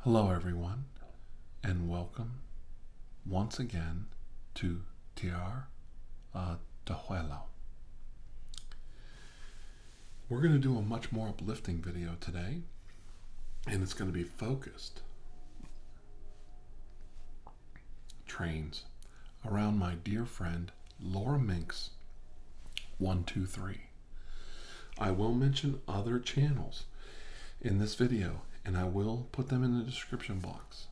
Hello, everyone, and welcome once again to Tiar uh, Tejuelo. We're going to do a much more uplifting video today, and it's going to be focused trains around my dear friend Laura Minks 123. I will mention other channels in this video and I will put them in the description box.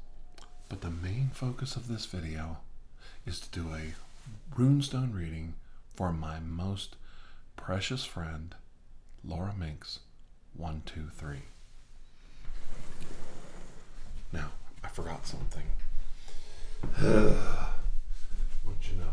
But the main focus of this video is to do a runestone reading for my most precious friend, Laura Minx 123. Now, I forgot something. what you know?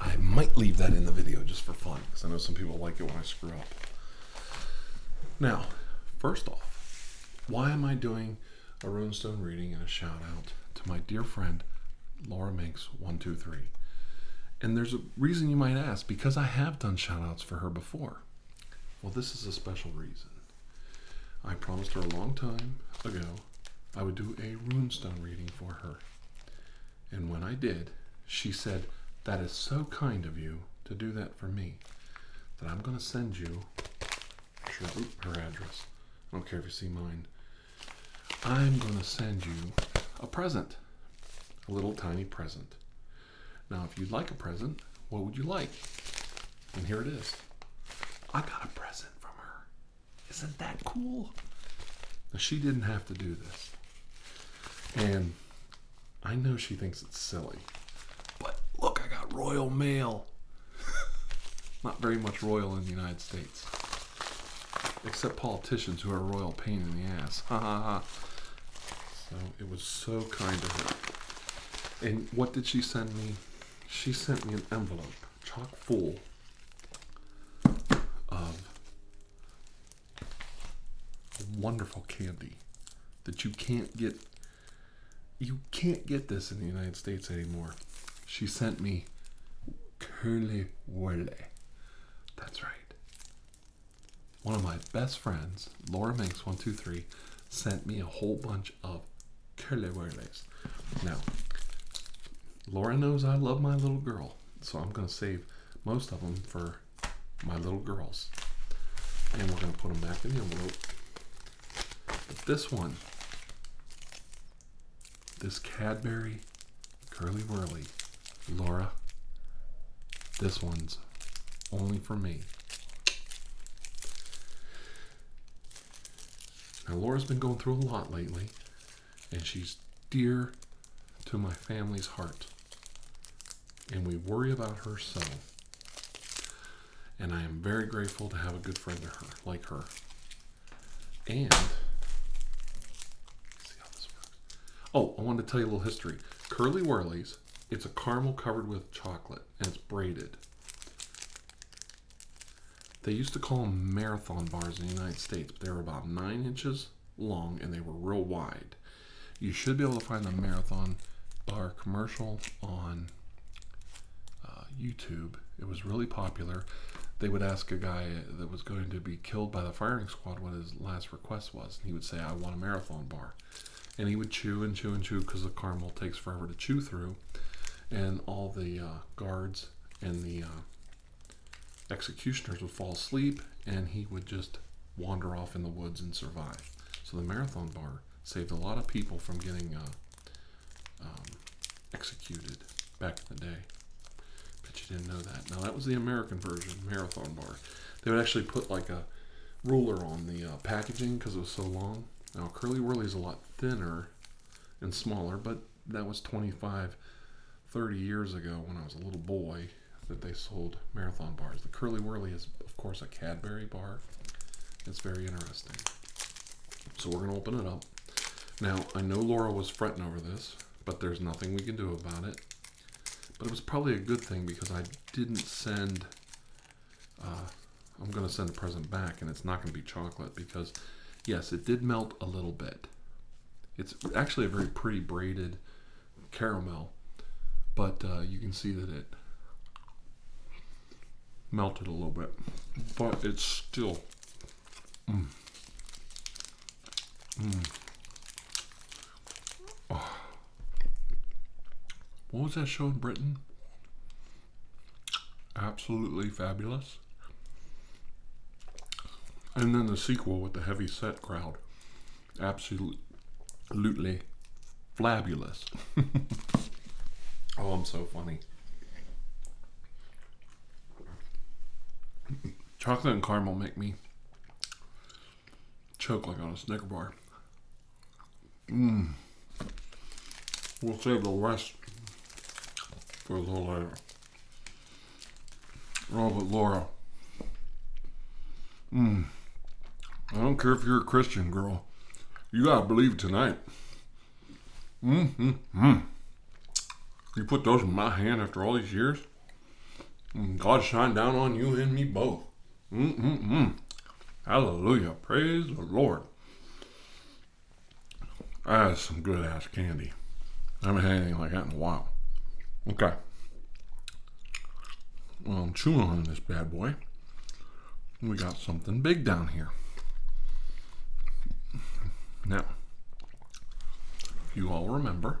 I might leave that in the video just for fun because I know some people like it when I screw up. Now, first off, why am I doing a runestone reading and a shout out to my dear friend Laura Minks123? And there's a reason you might ask because I have done shout outs for her before. Well, this is a special reason. I promised her a long time ago I would do a runestone reading for her. And when I did, she said, That is so kind of you to do that for me that I'm going to send you her address. I don't care if you see mine. I'm going to send you a present a little tiny present. Now, if you'd like a present, what would you like? And here it is. I got a present from her. Isn't that cool? she didn't have to do this. And I know she thinks it's silly, but look, I got royal mail. Not very much royal in the United States, except Paul politicians who are royal pain in the ass. Ha uh-huh, uh-huh. So it was so kind of her. And what did she send me? She sent me an envelope, chock full of wonderful candy that you can't get. You can't get this in the United States anymore. She sent me curly whirly. That's right. One of my best friends, Laura Manx 123 sent me a whole bunch of curly-whirlies. Now, Laura knows I love my little girl, so I'm going to save most of them for my little girls. And we're going to put them back in the envelope. But this one, this Cadbury Curly Whirly, Laura. This one's only for me. Now, Laura's been going through a lot lately, and she's dear to my family's heart. And we worry about her so. And I am very grateful to have a good friend to her, like her. And Oh, I wanted to tell you a little history. Curly Whirlies, it's a caramel covered with chocolate and it's braided. They used to call them marathon bars in the United States, but they were about nine inches long and they were real wide. You should be able to find the marathon bar commercial on uh, YouTube. It was really popular. They would ask a guy that was going to be killed by the firing squad what his last Quest was. And he would say, I want a marathon bar. And he would chew and chew and chew because the caramel takes forever to chew through. And all the uh, guards and the uh, executioners would fall asleep and he would just wander off in the woods and survive. So the marathon bar saved a lot of people from getting uh, um, executed back in the day. But you didn't know that. Now that was the American version, marathon bar. They would actually put like a ruler on the uh, packaging because it was so long. Now Curly Whirly is a lot thinner and smaller, but that was 25, 30 years ago when I was a little boy that they sold marathon bars. The Curly Whirly is, of course, a Cadbury bar. It's very interesting. So we're going to open it up. Now, I know Laura was fretting over this, but there's nothing we can do about it. But it was probably a good thing because I didn't send... Uh, I'm going to send a present back and it's not going to be chocolate because, yes, it did melt a little bit. It's actually a very pretty braided caramel, but uh, you can see that it melted a little bit, but it's still mm. Mm. What was that show in Britain? Absolutely fabulous. And then the sequel with the heavy set crowd. Absolutely fabulous. oh, I'm so funny. Chocolate and caramel make me choke like on a Snicker bar. Mmm. We'll save the rest for a little later. Robert Laura. Mmm. I don't care if you're a Christian girl. You gotta believe tonight. Mmm. Mmm. Mm. You put those in my hand after all these years? God shine down on you and me both. Hallelujah. Praise the Lord. That is some good ass candy. I haven't had anything like that in a while. Okay. Well, I'm chewing on this bad boy. We got something big down here. Now, you all remember,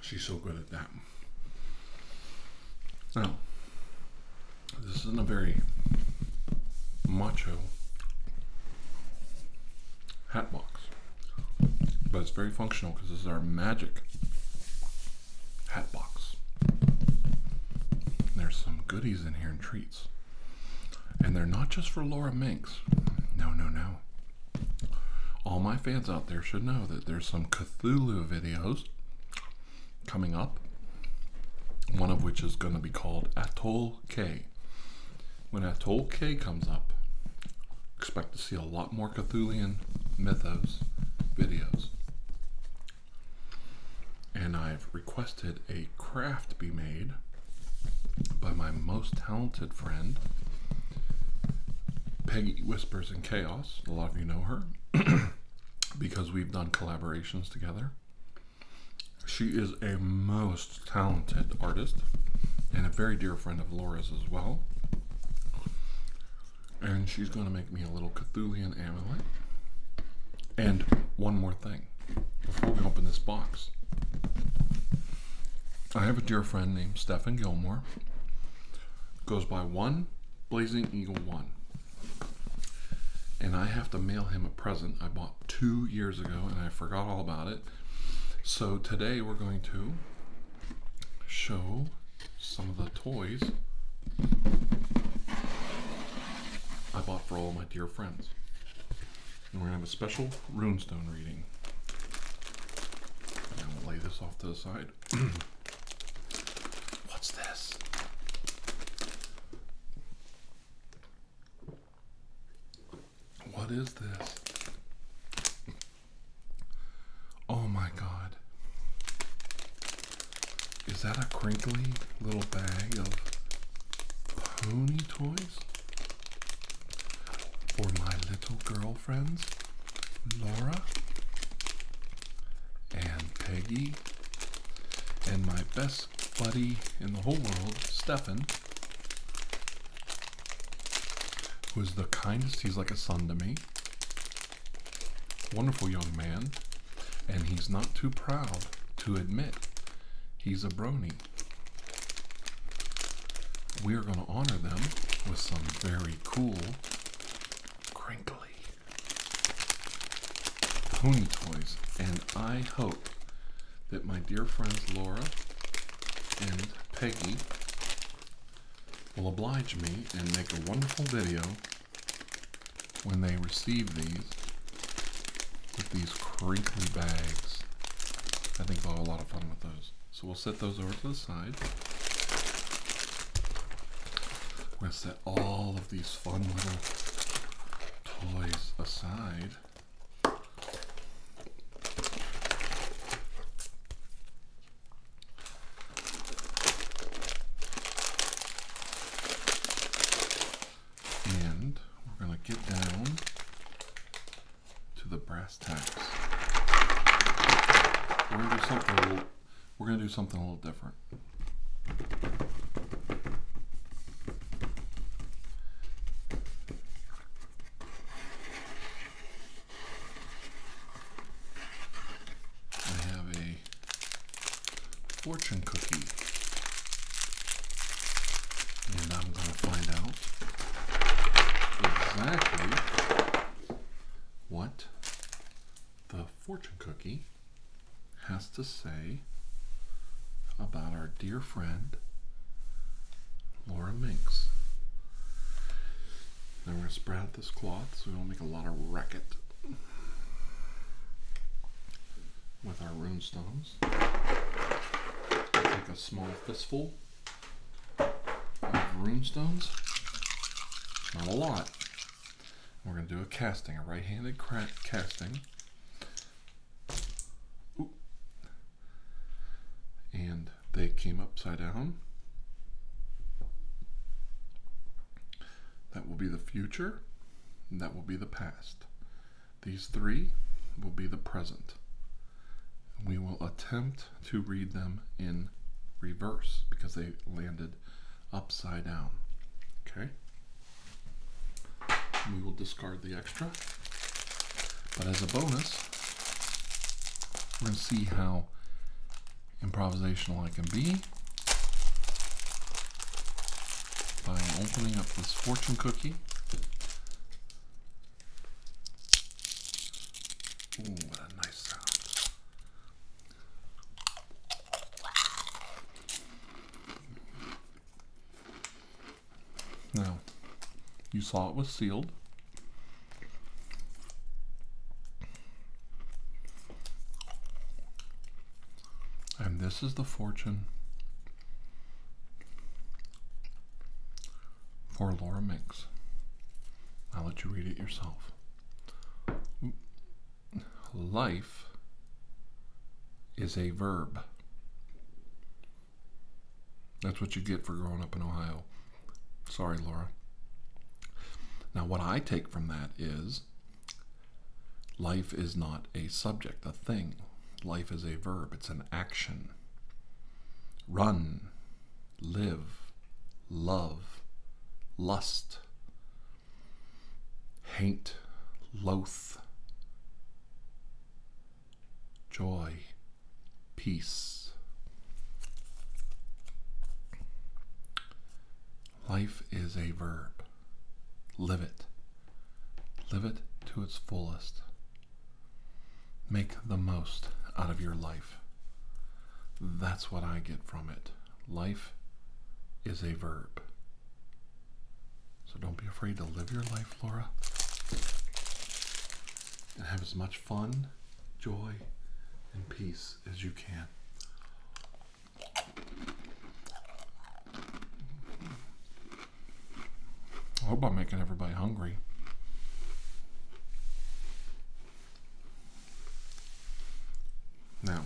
She's so good at that. Now, this isn't a very macho hat box, but it's very functional because this is our magic hat box. There's some goodies in here and treats. And they're not just for Laura Minx. No, no, no. All my fans out there should know that there's some Cthulhu videos coming up, one of which is going to be called Atoll K. When Atoll K comes up, expect to see a lot more Cthulian mythos videos. And I've requested a craft be made by my most talented friend, Peggy Whispers in Chaos. A lot of you know her because we've done collaborations together. She is a most talented artist and a very dear friend of Laura's as well. And she's going to make me a little Cthulian amulet. And one more thing before we open this box. I have a dear friend named Stephen Gilmore. Goes by one Blazing Eagle One. And I have to mail him a present I bought two years ago and I forgot all about it. So today we're going to show some of the toys I bought for all my dear friends. And we're going to have a special runestone reading. And I'm going to lay this off to the side. What's this? What is this? Oh my god. Is that a crinkly little bag of pony toys? For my little girlfriends, Laura and Peggy, and my best buddy in the whole world, Stefan, who is the kindest, he's like a son to me. Wonderful young man, and he's not too proud to admit he's a brony we are going to honor them with some very cool, crinkly pony toys. And I hope that my dear friends Laura and Peggy will oblige me and make a wonderful video when they receive these with these crinkly bags. I think we will have a lot of fun with those. So we'll set those over to the side. We're going to set all of these fun little toys aside. And we're going to get down to the brass tacks. We're gonna do something a little, we're gonna do something a little different. I have a fortune cookie and I'm going to find out exactly what the fortune cookie has to say about our dear friend Laura Minx. Now we're going to spread out this cloth so we don't make a lot of racket with our runestones. Take a small fistful of runestones. Not a lot. We're going to do a casting, a right-handed casting. And they came upside down. That will be the future. that will be the past. These three will be the present. We will attempt to read them in reverse because they landed upside down. Okay? We will discard the extra. But as a bonus, we're going to see how improvisational I can be by opening up this fortune cookie what a nice sound. Now, you saw it was sealed. And this is the fortune for Laura Mix. I'll let you read it yourself. Life is a verb. That's what you get for growing up in Ohio. Sorry, Laura. Now, what I take from that is life is not a subject, a thing. Life is a verb, it's an action. Run, live, love, lust, hate, loath, joy, peace. Life is a verb. Live it. Live it to its fullest. Make the most out of your life. That's what I get from it. Life is a verb. So don't be afraid to live your life, Laura. And have as much fun, joy, and peace as you can. I hope I'm making everybody hungry. Now,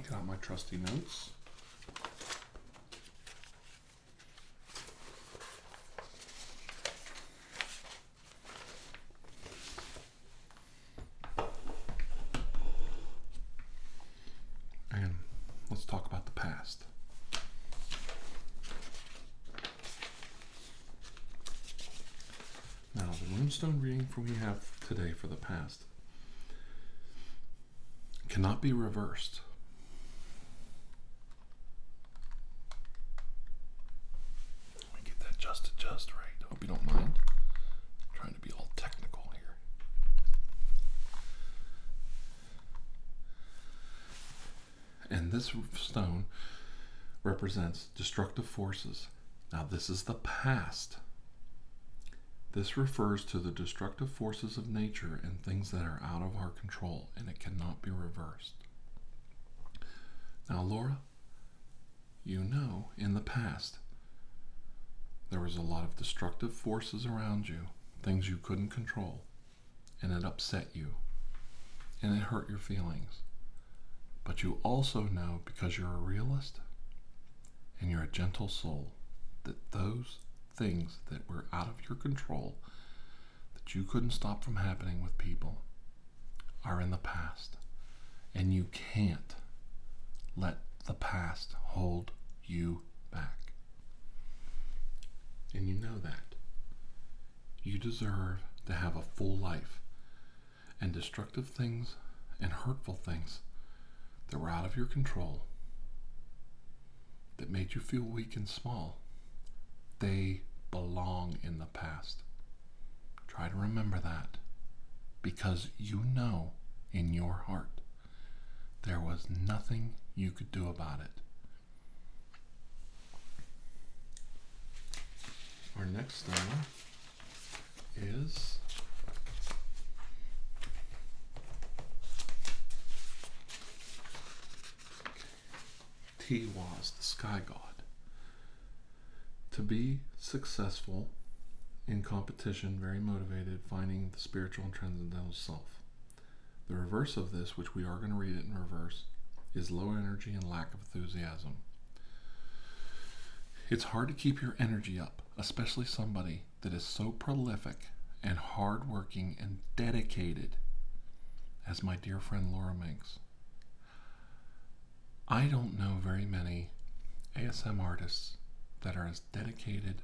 get out my trusty notes. And let's talk about the past. Now, the runestone reading we have today for the past cannot be reversed. Let me get that just just right. Hope you don't mind be all technical here. And this stone represents destructive forces. Now, this is the past. This refers to the destructive forces of nature and things that are out of our control and it cannot be reversed. Now, Laura, you know in the past there was a lot of destructive forces around you, things you couldn't control, and it upset you, and it hurt your feelings. But you also know, because you're a realist and you're a gentle soul, that those things that were out of your control, that you couldn't stop from happening with people, are in the past. And you can't let the past hold you back. And you know that. You deserve to have a full life, and destructive things and hurtful things that were out of your control, that made you feel weak and small, they belong in the past. Try to remember that because you know in your heart there was nothing you could do about it. Our next thing is T was the sky god. To be successful in competition very motivated, finding the spiritual and transcendental self. The reverse of this, which we are going to read it in reverse, is low energy and lack of enthusiasm. It's hard to keep your energy up, especially somebody that is so prolific and hardworking and dedicated as my dear friend Laura Minks. I don't know very many ASM artists that are as dedicated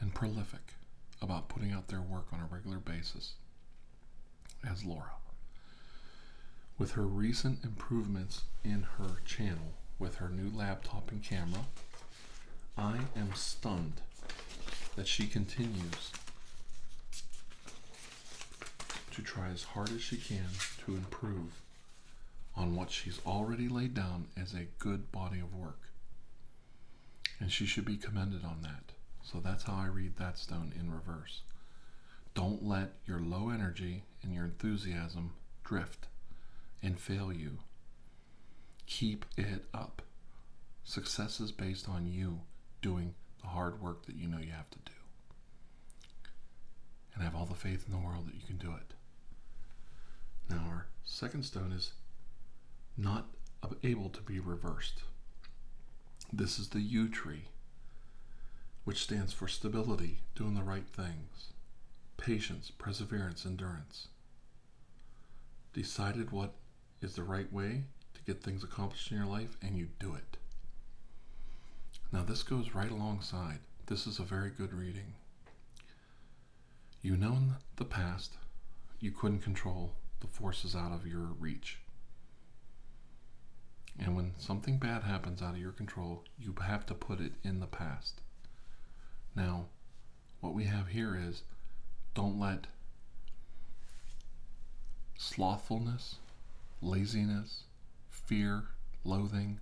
and prolific about putting out their work on a regular basis as Laura. With her recent improvements in her channel, with her new laptop and camera, I am stunned that she continues to try as hard as she can to improve on what she's already laid down as a good body of work. And she should be commended on that. So that's how I read that stone in reverse. Don't let your low energy and your enthusiasm drift and fail you. Keep it up. Success is based on you doing the hard work that you know you have to do and have all the faith in the world that you can do it. Now, our second stone is not able to be reversed. This is the U tree, which stands for stability, doing the right things, patience, perseverance, endurance. Decided what is the right way to get things accomplished in your life, and you do it. Now, this goes right alongside. This is a very good reading. You know in the past you couldn't control the forces out of your reach. And when something bad happens out of your control, you have to put it in the past. Now, what we have here is don't let slothfulness, laziness, fear, loathing,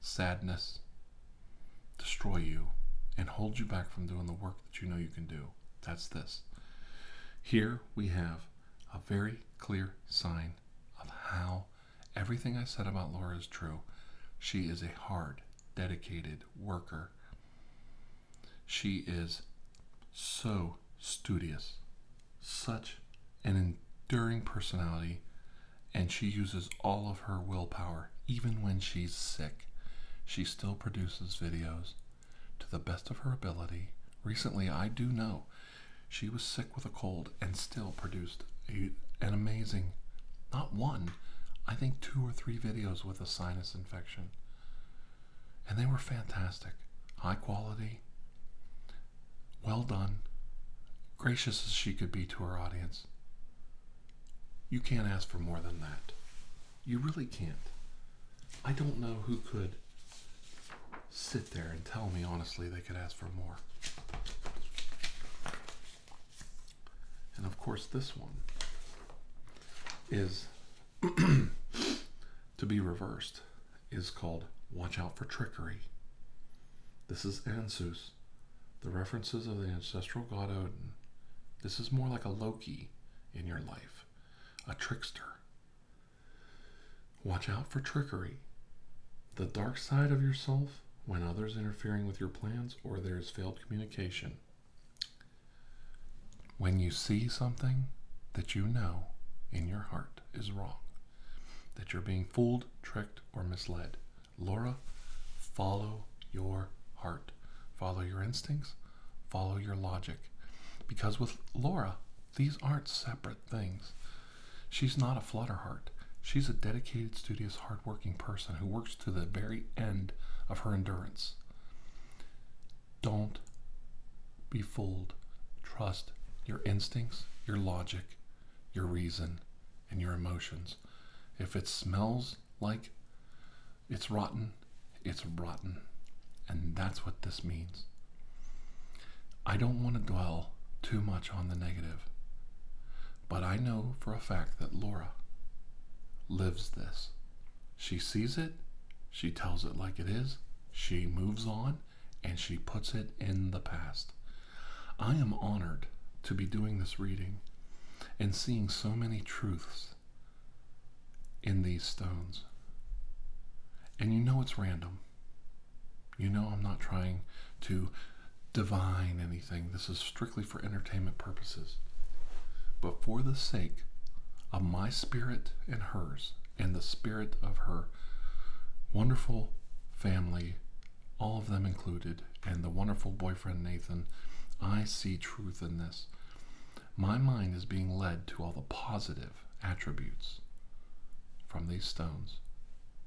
sadness, destroy you, and hold you back from doing the work that you know you can do. That's this. Here we have a very clear sign of how everything I said about Laura is true. She is a hard, dedicated worker. She is so studious, such an enduring personality, and she uses all of her willpower, even when she's sick. She still produces videos to the best of her ability. Recently, I do know she was sick with a cold and still produced an amazing, not one, I think two or three videos with a sinus infection. And they were fantastic, high quality, well done, gracious as she could be to her audience. You can't ask for more than that. You really can't. I don't know who could sit there and tell me honestly they could ask for more. And of course, this one is to be reversed is called watch out for trickery. This is Ansus, the references of the ancestral god Odin. This is more like a Loki in your life, a trickster. Watch out for trickery. The dark side of yourself when others interfering with your plans or there is failed communication. When you see something that you know in your heart is wrong, that you're being fooled, tricked, or misled. Laura, follow your heart, follow your instincts, follow your logic. Because with Laura, these aren't separate things. She's not a flutterheart. She's a dedicated, studious, hardworking person who works to the very end of her endurance. Don't be fooled. Trust your instincts, your logic, your reason, and your emotions. If it smells like it's rotten, it's rotten. And that's what this means. I don't want to dwell too much on the negative, but I know for a fact that Laura lives this. She sees it, she tells it like it is, she moves on, and she puts it in the past. I am honored to be doing this reading and seeing so many truths in these stones. And you know it's random. You know I'm not trying to divine anything. This is strictly for entertainment purposes. But for the sake of my spirit and hers, and the spirit of her wonderful family all of them included, and the wonderful boyfriend Nathan, I see truth in this. My mind is being led to all the positive attributes from these stones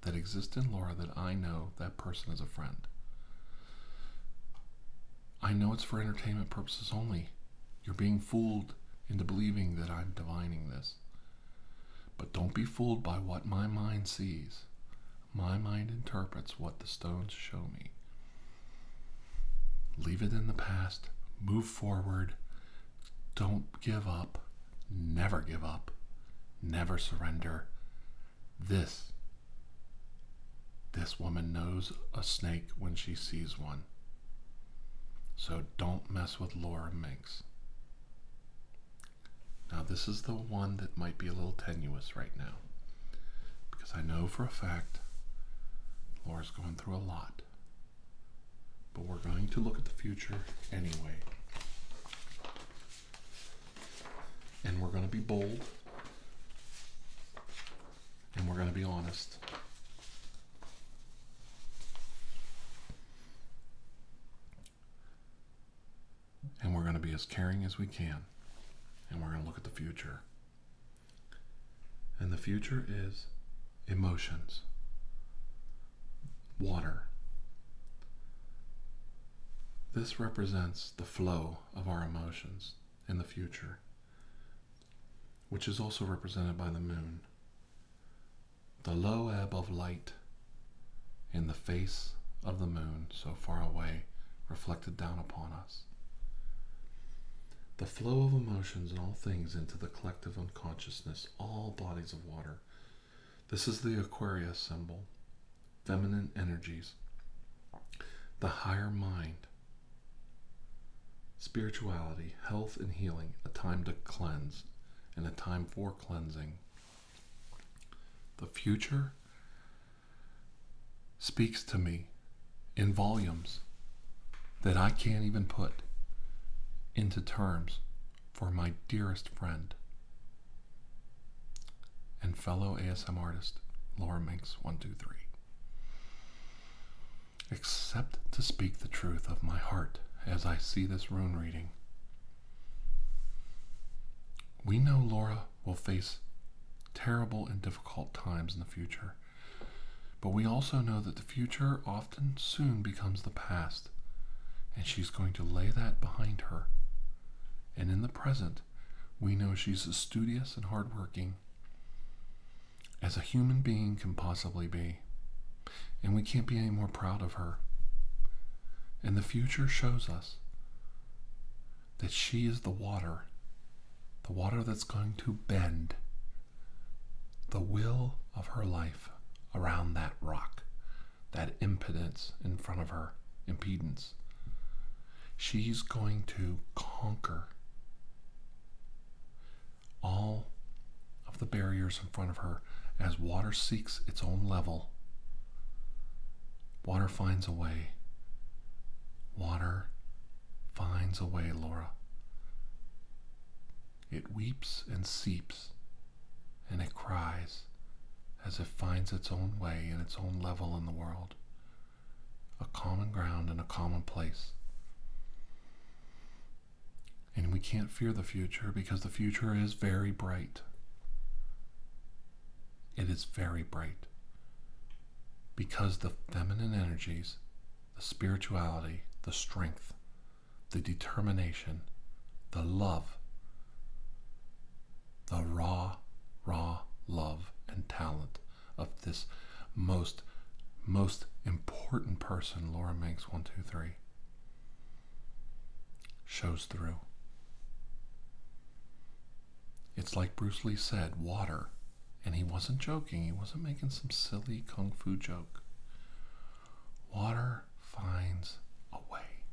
that exist in Laura that I know that person is a friend. I know it's for entertainment purposes only. You're being fooled into believing that I'm divining this. But don't be fooled by what my mind sees. My mind interprets what the stones show me. Leave it in the past, move forward, don't give up, never give up, never surrender. This this woman knows a snake when she sees one. So don't mess with Laura Minx. Now, this is the one that might be a little tenuous right now because I know for a fact Laura's going through a lot. But we're going to look at the future anyway. And we're going to be bold. And we're going to be honest. And we're going to be as caring as we can. And we're going to look at the future. And the future is emotions, water. This represents the flow of our emotions in the future, which is also represented by the moon. The low ebb of light in the face of the moon so far away reflected down upon us. The flow of emotions and all things into the collective unconsciousness, all bodies of water. This is the Aquarius symbol, feminine energies, the higher mind, spirituality, health, and healing, a time to cleanse, and a time for cleansing. The future speaks to me in volumes that I can't even put into terms for my dearest friend and fellow ASM artist, Laura Minx123. Except to speak the truth of my heart as I see this rune reading. We know Laura will face terrible and difficult times in the future. But we also know that the future often soon becomes the past, and she's going to lay that behind her. And in the present, we know she's as studious and hardworking as a human being can possibly be. And we can't be any more proud of her. And the future shows us that she is the water, the water that's going to bend the will of her life around that rock, that impedance in front of her, impedance. She's going to conquer all of the barriers in front of her as water seeks its own level. Water finds a way. Water finds a way, Laura. It weeps and seeps, and it cries as it finds its own way and its own level in the world. A common ground and a common place. And we can't fear the future because the future is very bright. It is very bright because the feminine energies, the spirituality, the strength, the determination, the love, the raw, raw love and talent of this most, most important person, Laura Minks, one, two, three, shows through. It's like Bruce Lee said, water. And he wasn't joking, he wasn't making some silly kung fu joke. Water finds a way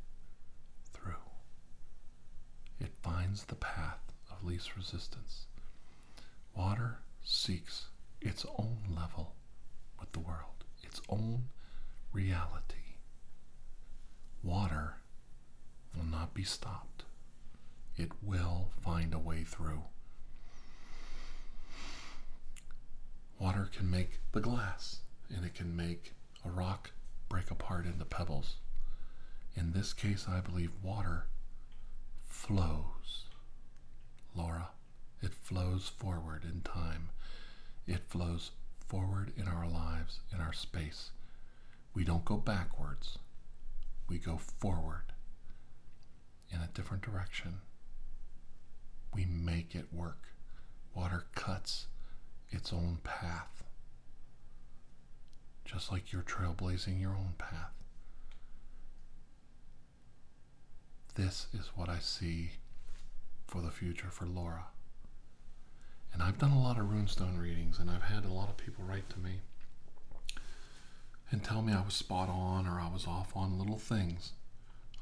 through, it finds the path of least resistance. Water seeks its own level with the world, its own reality. Water will not be stopped. It will find a way through. Water can make the glass, and it can make a rock break apart into pebbles. In this case, I believe water flows. Laura, it flows forward in time. It flows forward in our lives, in our space. We don't go backwards, we go forward in a different direction. We make it work. Water cuts its own path, just like you're trailblazing your own path. This is what I see for the future for Laura. And I've done a lot of runestone readings, and I've had a lot of people write to me and tell me I was spot on or I was off on little things.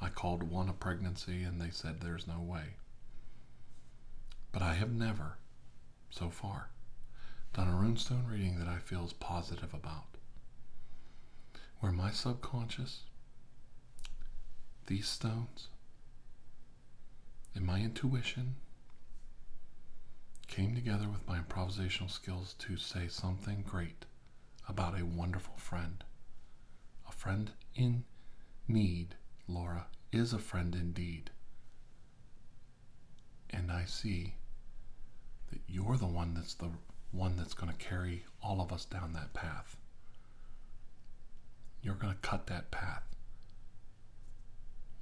I called one a pregnancy, and they said there's no way. But I have never, so far, done a runestone reading that I feel is positive about. Where my subconscious, these stones, and my intuition came together with my improvisational skills to say something great about a wonderful friend. A friend in need, Laura, is a friend indeed. And I see that you're the one that's the one that's going to carry all of us down that path. You're going to cut that path.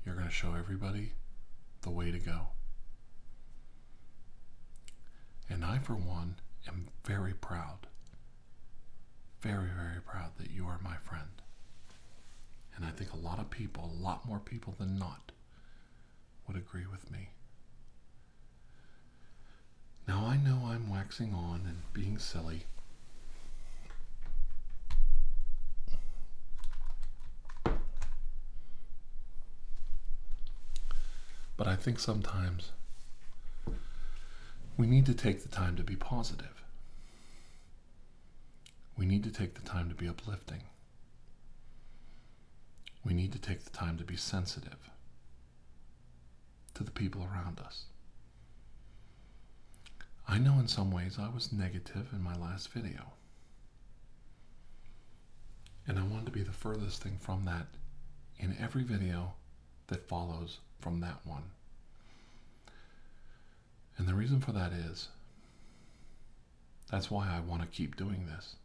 You're going to show everybody the way to go. And I, for one, am very proud, very, very proud that you are my friend. And I think a lot of people, a lot more people than not, would agree with me. Now I know I'm waxing on and being silly, but I think sometimes we need to take the time to be positive. We need to take the time to be uplifting. We need to take the time to be sensitive to the people around us. I know in some ways I was negative in my last video. And I wanted to be the furthest thing from that in every video that follows from that one. And the reason for that is that's why I want to keep doing this.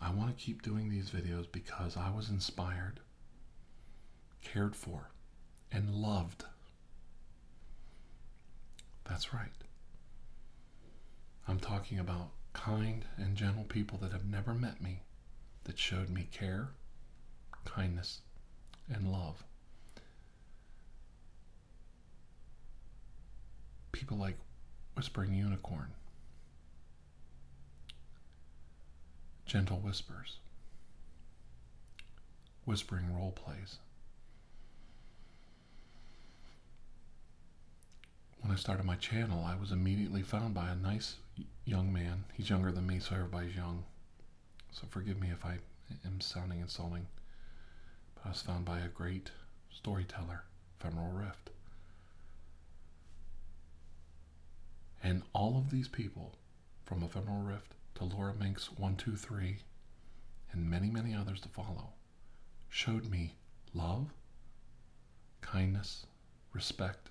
I want to keep doing these videos because I was inspired cared for, and loved. That's right. I'm talking about kind and gentle people that have never met me that showed me care, kindness, and love. People like Whispering Unicorn, Gentle Whispers, whispering role plays. When I started my channel, I was immediately found by a nice young man. He's younger than me, so everybody's young. So forgive me if I am sounding insulting. But I was found by a great storyteller, Femoral Rift. And all of these people from Ephemeral Rift to Laura Minx 123, and many, many others to follow, showed me love, kindness, respect,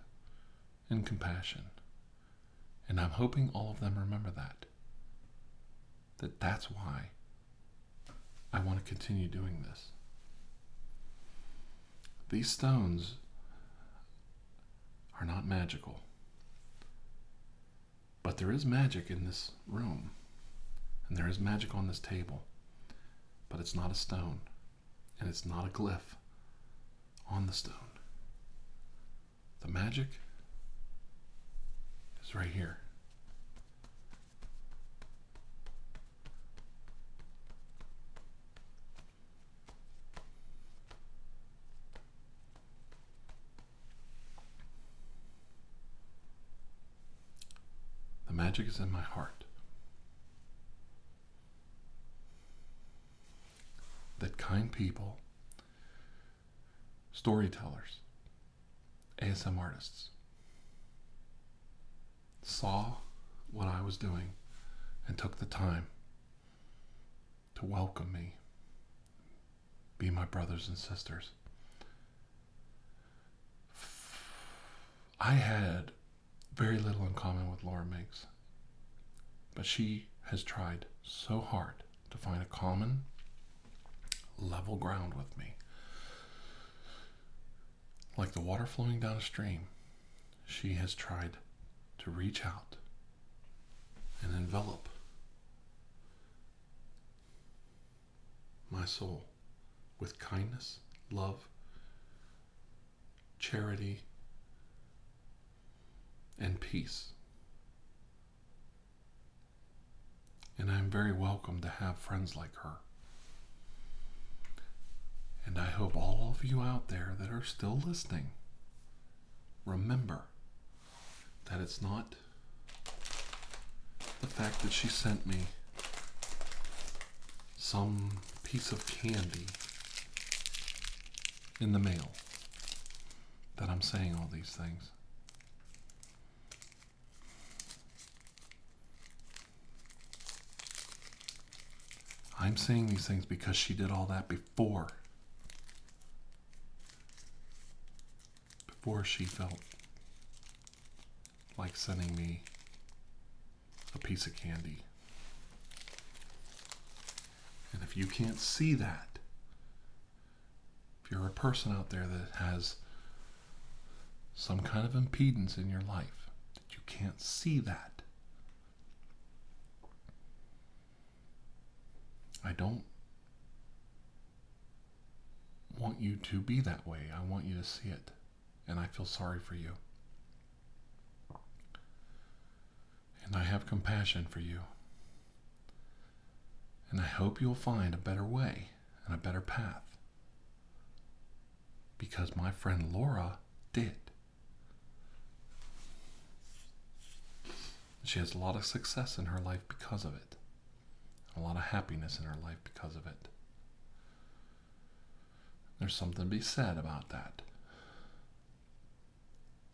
and compassion. And I'm hoping all of them remember that. That that's why I want to continue doing this. These stones are not magical. But there is magic in this room, and there is magic on this table, but it's not a stone, and it's not a glyph on the stone. The magic is right here. The magic is in my heart. That kind people, storytellers, ASMR artists saw what I was doing and took the time to welcome me be my brothers and sisters. I had very little in common with Laura Mix, but she has tried so hard to find a common level ground with me. Like the water flowing down a stream, she has tried to reach out and envelop my soul with kindness, love, charity, and peace. And I am very welcome to have friends like her. And I hope all of you out there that are still listening remember that it's not the fact that she sent me some piece of candy in the mail that I'm saying all these things. I'm saying these things because she did all that before before before she felt like sending me a piece of candy. And if you can't see that, if you're a person out there that has some kind of impedance in your life, that you can't see that, I don't want you to be that way. I want you to see it. And I feel sorry for you. And I have compassion for you. And I hope you'll find a better way and a better path. Because my friend Laura did. She has a lot of success in her life because of it, a lot of happiness in her life because of it. There's something to be said about that.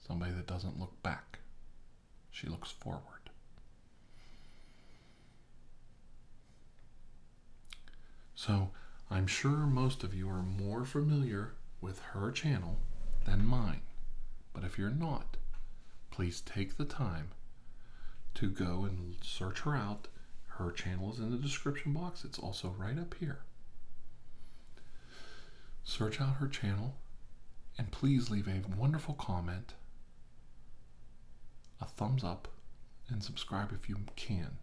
Somebody that doesn't look back, she looks forward. So, I'm sure most of you are more familiar with her channel than mine, but if you're not, please take the time to go and search her out. Her channel is in the description box, it's also right up here. Search out her channel and please leave a wonderful comment, a thumbs up, and subscribe if you can.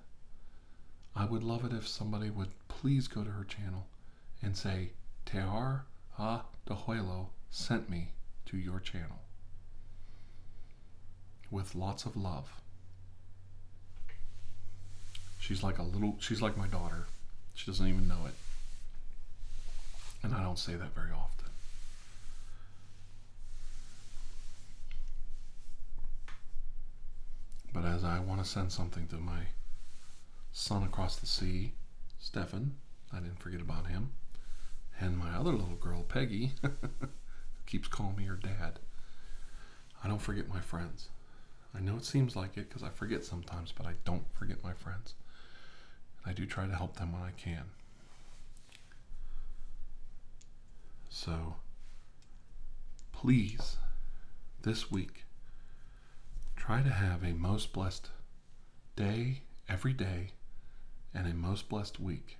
I would love it if somebody would please go to her channel and say, Tear Ah Dehuelo sent me to your channel. With lots of love. She's like a little, she's like my daughter. She doesn't even know it. And I don't say that very often. But as I want to send something to my son across the sea, Stefan, I didn't forget about him. And my other little girl, Peggy, keeps calling me her dad. I don't forget my friends. I know it seems like it because I forget sometimes, but I don't forget my friends. And I do try to help them when I can. So, please, this week, try to have a most blessed day, every day, and a most blessed week.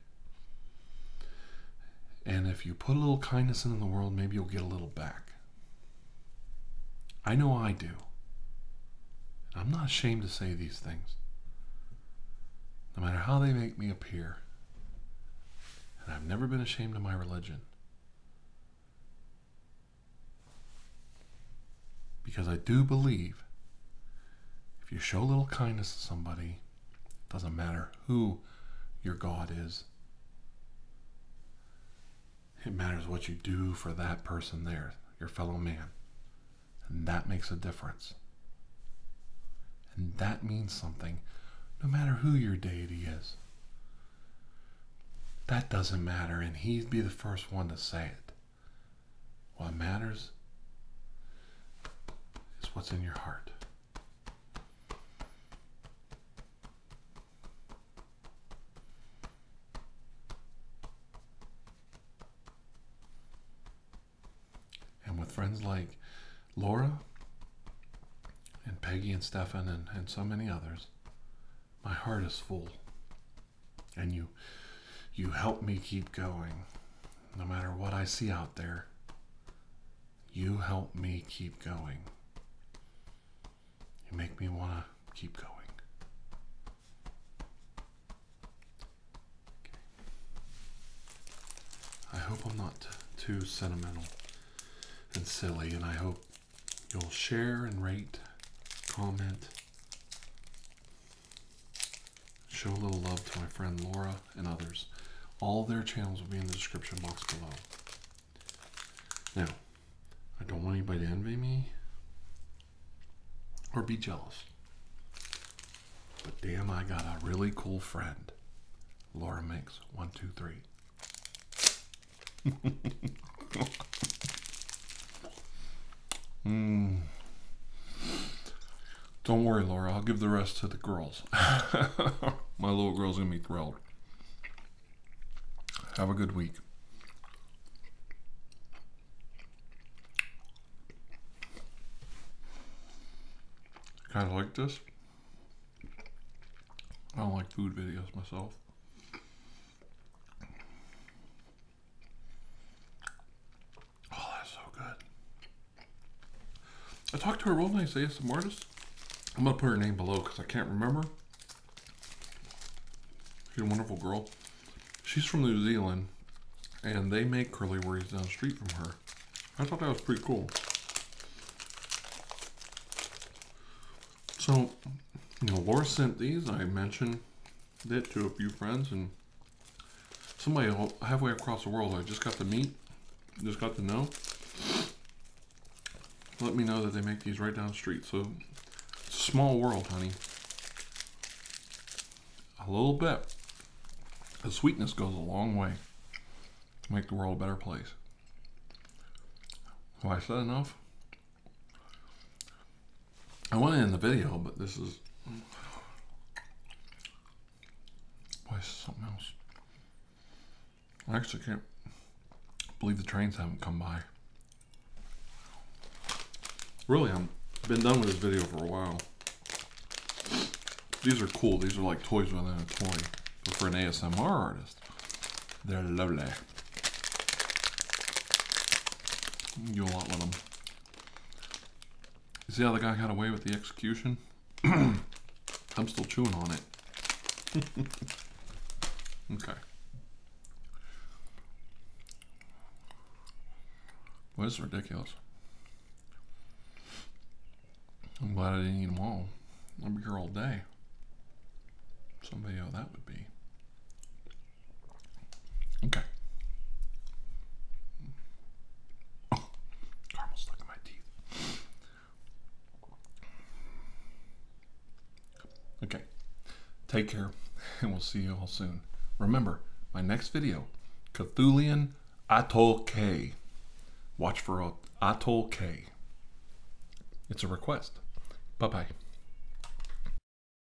And if you put a little kindness into the world, maybe you'll get a little back. I know I do. I'm not ashamed to say these things. No matter how they make me appear, and I've never been ashamed of my religion. Because I do believe if you show a little kindness to somebody, it doesn't matter who your God is, it matters what you do for that person there, your fellow man. And that makes a difference. And that means something no matter who your deity is. That doesn't matter, and he'd be the first one to say it. What matters is what's in your heart. And with friends like Laura and Peggy and Stefan and, and so many others, my heart is full. And you you help me keep going no matter what I see out there. You help me keep going. You make me want to keep going. I hope I'm not too sentimental and silly, and I hope you'll share and rate, comment, Show a little love to my friend Laura and others. All their channels will be in the description box below. Now, I don't want anybody to envy me or be jealous. But damn, I got a really cool friend. Laura makes one, two, three. Hmm. Don't worry, Laura. I'll give the rest to the girls. My little girl's going to be thrilled. Have a good week. Kind of like this. I don't like food videos myself. Oh, that's so good. I talked to a real nice ASM artist. I'm going to put her name below because I can't remember. She's a wonderful girl. She's from New Zealand, and they make curly worries down the street from her. I thought that was pretty cool. So, you know, Laura sent these. I mentioned that to a few friends and somebody halfway across the world I just got to meet, just got to know, let me know that they make these right down street. So small world, honey. A little bit the sweetness goes a long way to make the world a better place. Why I said enough? I want to end the video, but this is. Boy, this something else. I actually can't believe the trains haven't come by. Really, I've been done with this video for a while. These are cool. These are like toys within a toy. But for an ASMR artist, they're lovely. You'll one of them. You see how the guy got away with the execution? I'm still chewing on it. okay. What is ridiculous. I'm glad I didn't eat them all. I'll be here all day. Some video that would be. Okay. caramel oh, stuck in my teeth. Okay. Take care, and we'll see you all soon. Remember, my next video, Cthulian Atoll K. Watch for Atoll K. It's a request. Bye-bye.